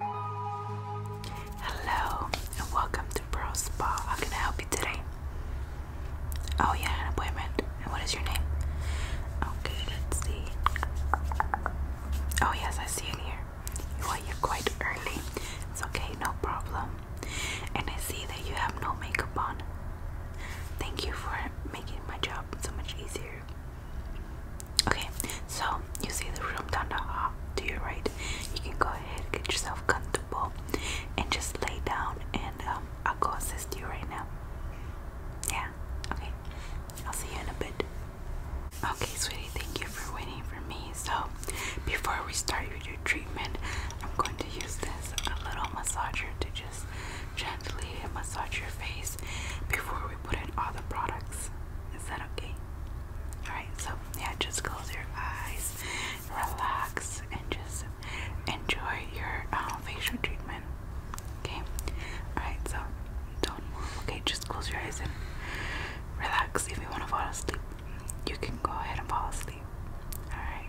Hello and welcome to Pearl Spa. How can I help you today? Oh, yeah, an appointment. And what is your name? Okay, let's see. Oh, yes, I see it here. Well, you're quite early. It's okay, no problem. And I see that you have no makeup on. Thank you for making my job so much easier. Okay, so you see the room down to your right. You can go ahead, get yourself comfortable, and just lay down. And um, I'll go assist you right now. Yeah. Okay. I'll see you in a bit. Okay, sweetie. Thank you for waiting for me. So before we start your treatment, I'm going to use this a little massager to just gently massage your face before we put in all the products. Is that okay? Alright, so yeah, just close your eyes, relax, and just enjoy your uh, facial treatment. Okay? Alright, so don't move. Okay, just close your eyes and relax. If you want to fall asleep, you can go ahead and fall asleep. Alright.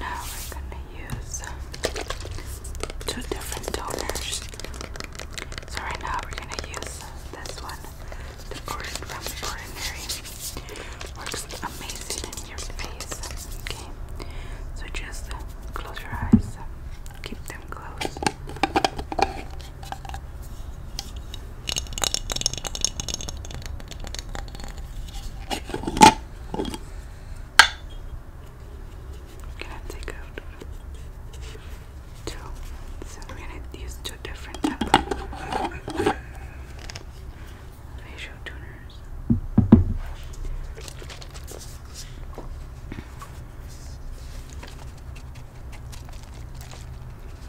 Now we're gonna use two different toners. So right now we're gonna use this one, the Orange from Ordinary. Works amazing in your face. Okay, so just close your eyes. Keep them closed. Can I take out two? So we're gonna use two different facial tuners.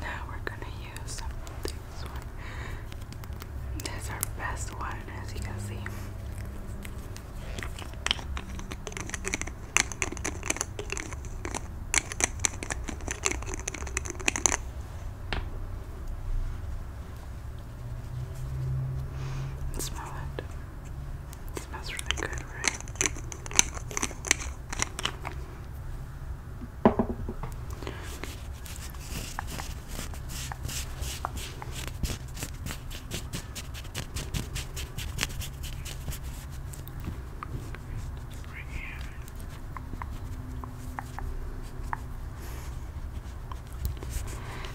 Now we're gonna use this one. This our best one, as you can see. Smell it. It smells really good, right? Right here. Okay,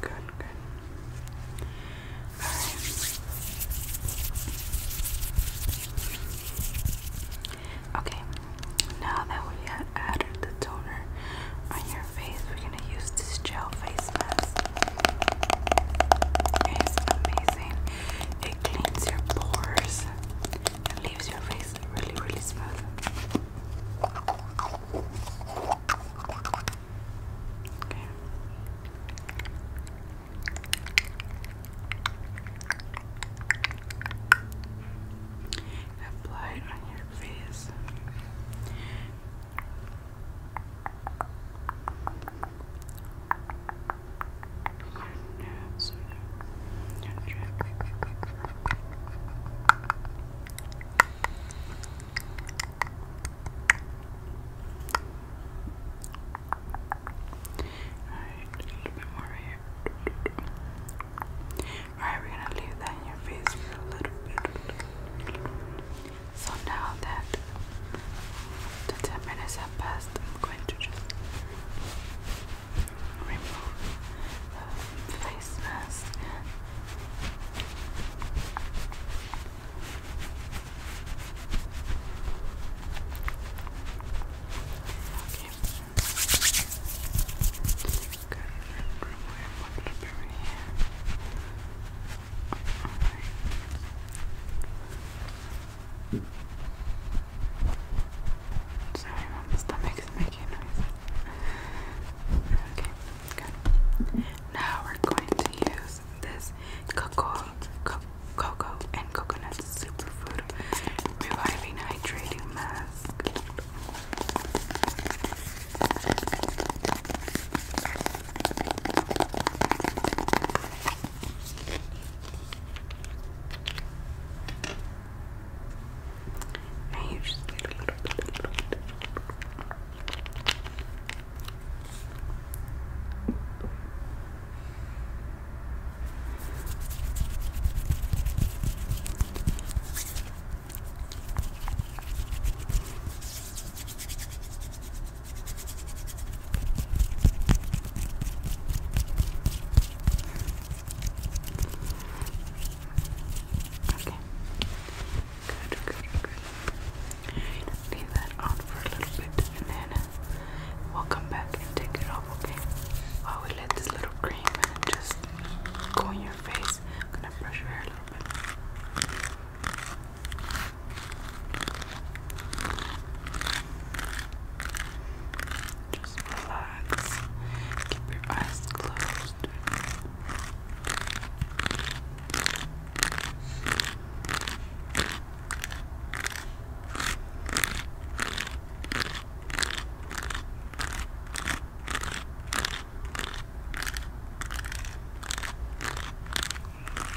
good, good. Alright. Okay, now that we have added the toner on your face, we're gonna use this gel face mask. It's amazing. It cleans your pores and leaves your face really, really smooth. Okay. Apply it on your face. Alright, a little bit more here. Alright, we're gonna leave that in your face for a little bit. So now that the 10 minutes have passed, I'm going to just remove the face mask. Sorry, my stomach is making noise. Okay, good. Now we're going to use this cocoa, co cocoa and coconut superfood reviving hydrating mask. Now you just need a little bit, little bit. Okay. Okay. Good, good, good. Leave that on for a little bit and then we'll come back and take it off, okay? While we let this little cream just go in your face, I'm gonna brush your hair a little bit. Just relax. Keep your eyes closed.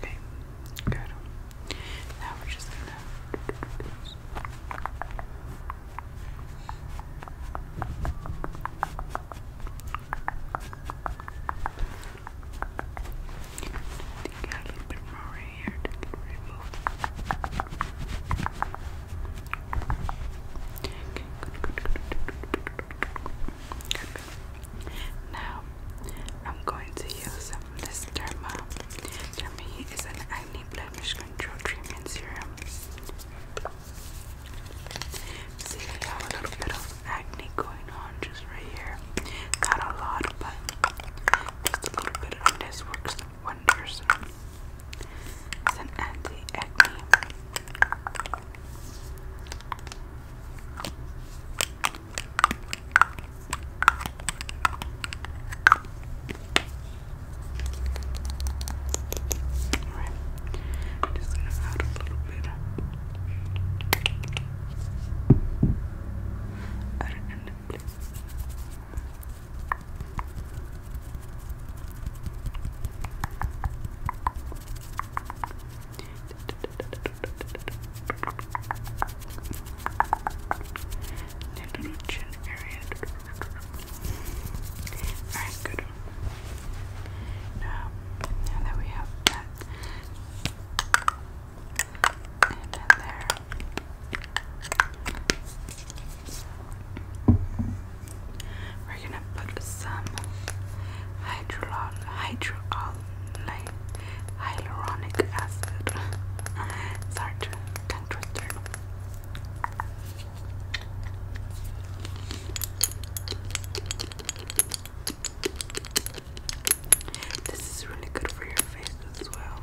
Okay, good. Now we're just gonna. Take a little bit more here to get Okay, now, I'm going to use this Derma. Derma is an acne blemish control treatment serum. See, I have a little bit of acne going on just right here. Not a lot, but just a little bit of this works wonders. It's an anti acne. Alright, just gonna add a little bit. Add it in the place. Alright, Little chin Alright, good. Now, now that we have that, and there. We're gonna put some hydrolol hyaluronic acid. Sorry, tongue twister. This is really good for your face as well.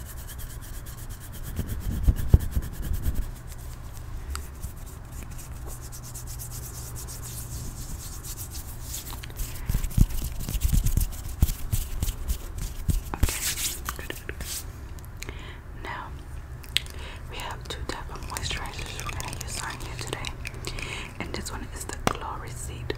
good, Now we have two types of moisturizers we're gonna use on here today, and this one is the Glory Seed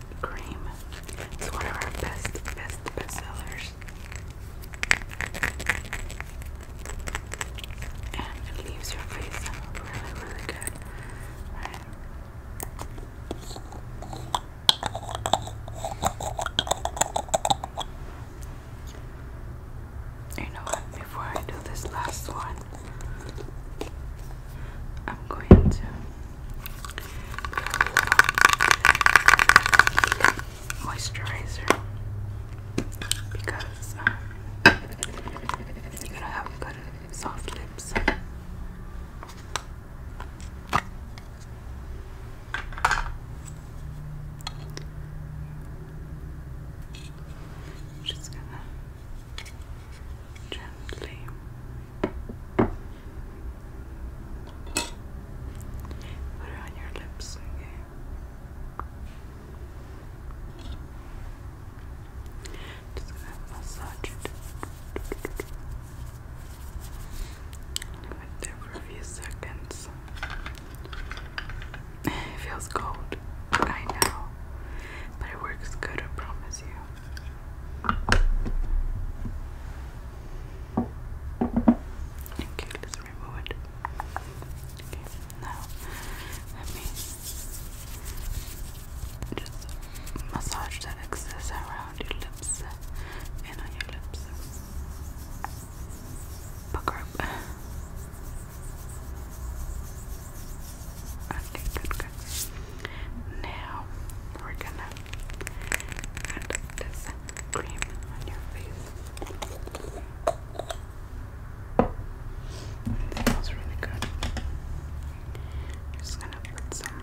cream. It's one of our best, best, best sellers. And it leaves your face really, really good. Right? You know what? Before I do this last one, I'm going to moisturizer because um, you're gonna have good soft lips. just gonna gently Put it on your lips, okay? Just gonna massage it. Leave it there for a few seconds. It feels cold, I know, but it works good, I promise you. Okay, let's remove it. Okay, now let me just massage that excess around your lips and on your lips. Pucker up. Now we're gonna add this cream on your face. It really good. I'm just gonna put some.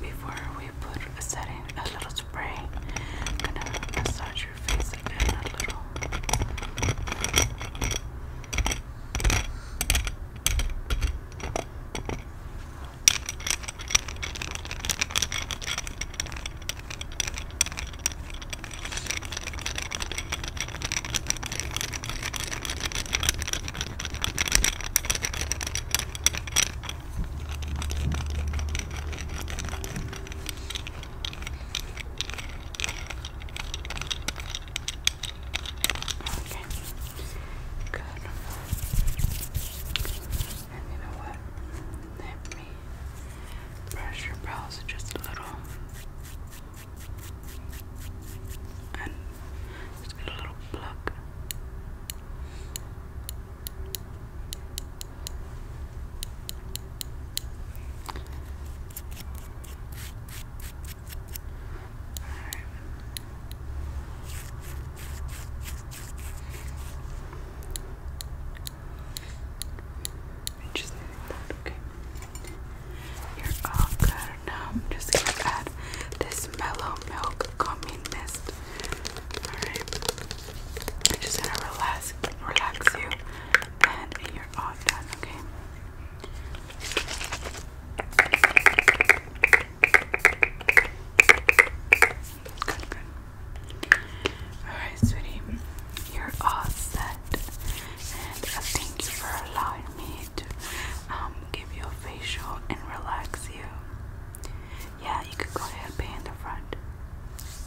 Before we put a setting, a little spray, gonna massage your face again a little. Okay. Good. And you know what? Let me brush your brows just a little and just get a little pluck. All right okay? You're all good. I'm just gonna add this mellow milk gummy mist. Alright. I'm just gonna relax relax you and you're all done, okay? Good, good. Alright, sweetie. You're all set and thank you for allowing me to um, give you a facial and relax you. Yeah, you could go ahead pay in the front.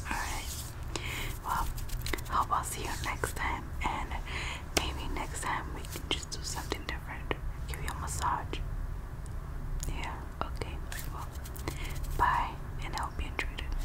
Alright. Well, hope I'll see you next time, and maybe next time we can just do something different. Give you a massage. Yeah, okay. Well, bye, and I hope you enjoyed it.